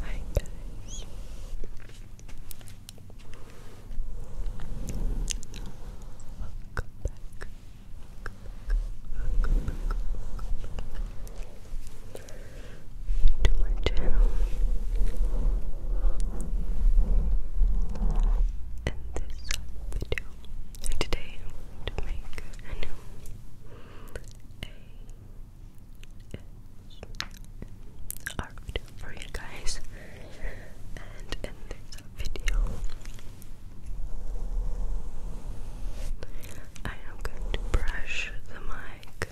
Hi guys. Welcome back. To my channel in this video. today I'm to make a new for you guys. And in this video, I am going to brush the mic.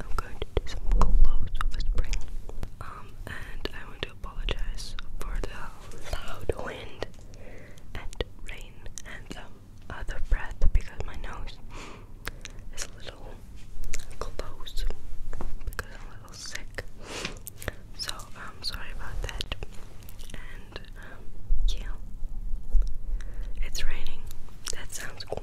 I'm going to do some close whispering. Um, and I want to apologize for the loud wind and rain and some other breath because my nose is a little close because I'm a little sick. So I'm um, sorry about that. And um, yeah, it's raining. That sounds cool.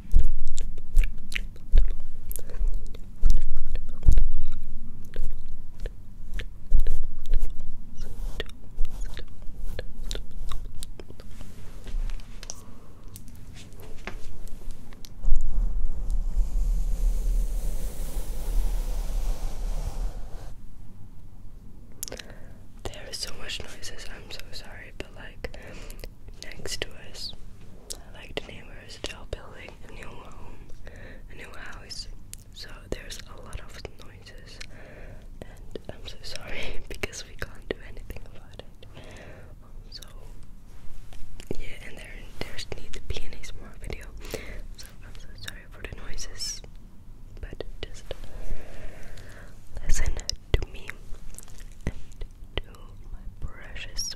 There is so much noises. I'm so sorry, but like next to us. I like the neighbors, they're building a new home, a new house, so there's a lot of noises, and I'm so sorry because we can't do anything about it. so, yeah, and there there's need to be an ASMR video, so I'm so sorry for the noises, but just listen to me my precious.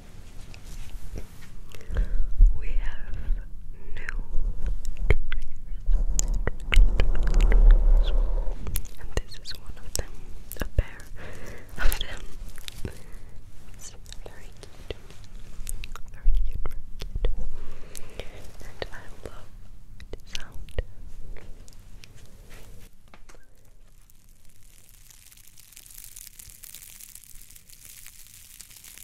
We have new triggers, and this is one of them. A pair of them. It's very cute, very cute, very cute, and I love the sound.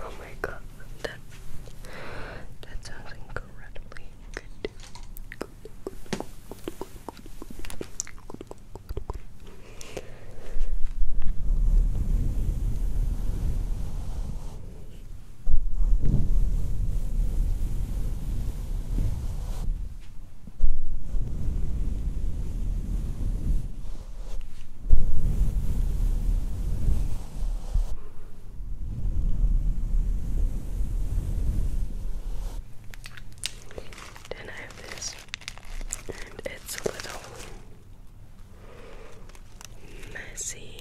Oh my god, that that sounds incredibly good. Then I have this and it's a little messy.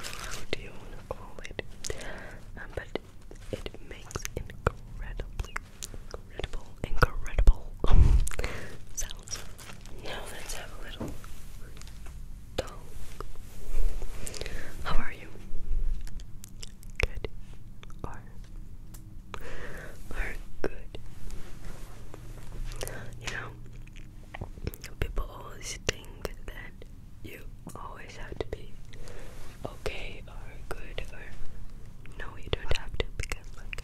How do you want to call it? Um, but it makes incredibly, incredible, incredible sounds. Now let's have a little talk. How are you? Good or are good. You know, people always think that you always have to be okay or good or no, you don't have to because, like,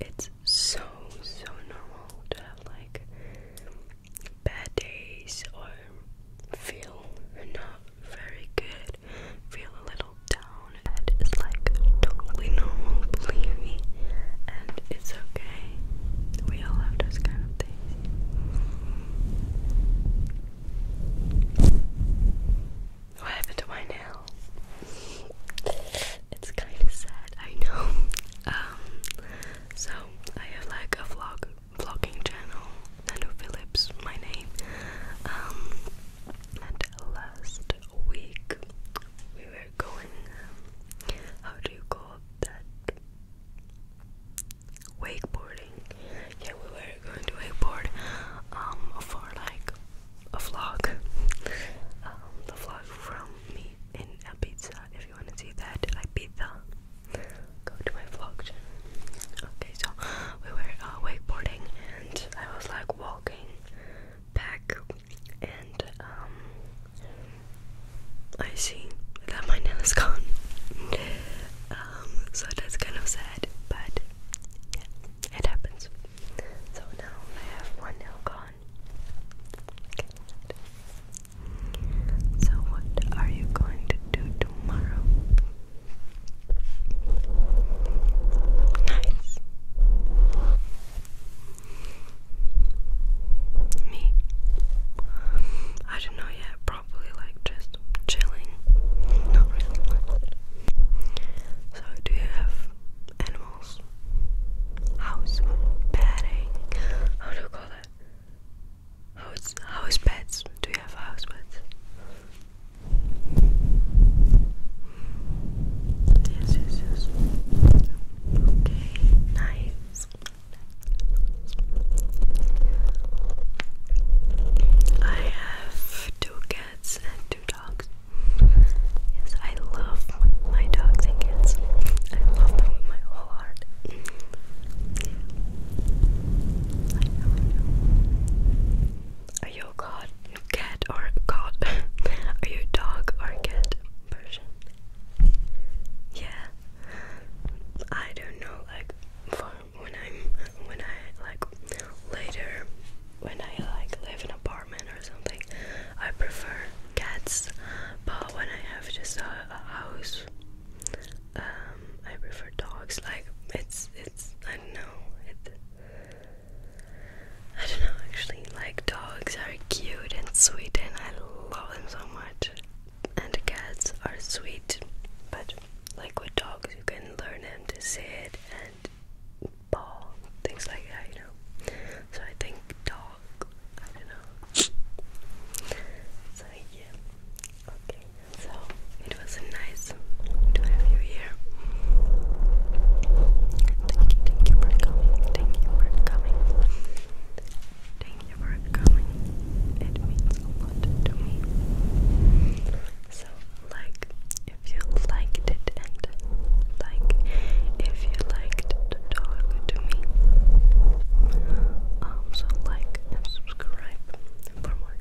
it's so, so normal to have, like, bad days or feel not very good, feel a little down and like totally normal, believe me. And it's okay. We all have those kind of things. What happened to my nail? It's kind of sad, I know. Um, so I have like a vlog vlogging channel, Nano Phillips, my name. Um, and last week we were going, um, how do you call that? Wakeboarding. Yeah, we were going to wakeboard um, for like a vlog. Um, the vlog from me in a If you want to see that, like go to my vlog Okay, so we were uh, wakeboarding and I was like walking pack and um I see that my nail is gone. um so that's kind of sad but yeah it happens. So now I have one nail gone. So what are you going to do tomorrow? Nice. Me. I don't know yet, probably like just chilling. Not really. So, do you have animals? House petting. How do you call that? House, house pets. Do you have house pets? Yes, yes, Okay, nice. I have two cats and two dogs. Yes, I love my dogs and cats. I love them with my whole heart. Are you cat or god? Are you dog or cat Yeah. I don't know. Like for when I'm when I like later when I like live in apartment or something, I prefer cats. But when I have just a, house, um, I prefer dogs. Like it's it's I know. It, I don't know actually, like dogs are cute and sweet and I love them so much. And cats are sweet, but like with dogs you can learn them to sit and paw, things like that, you know. So I think dog, I don't know. So yeah. Okay, so it was a nice to have you here. Thank you, thank you for coming. Thank you for coming. Thank you for coming. It means a lot to me. So, like, if you liked it, like, if you liked to talk to me, um, like and subscribe for more.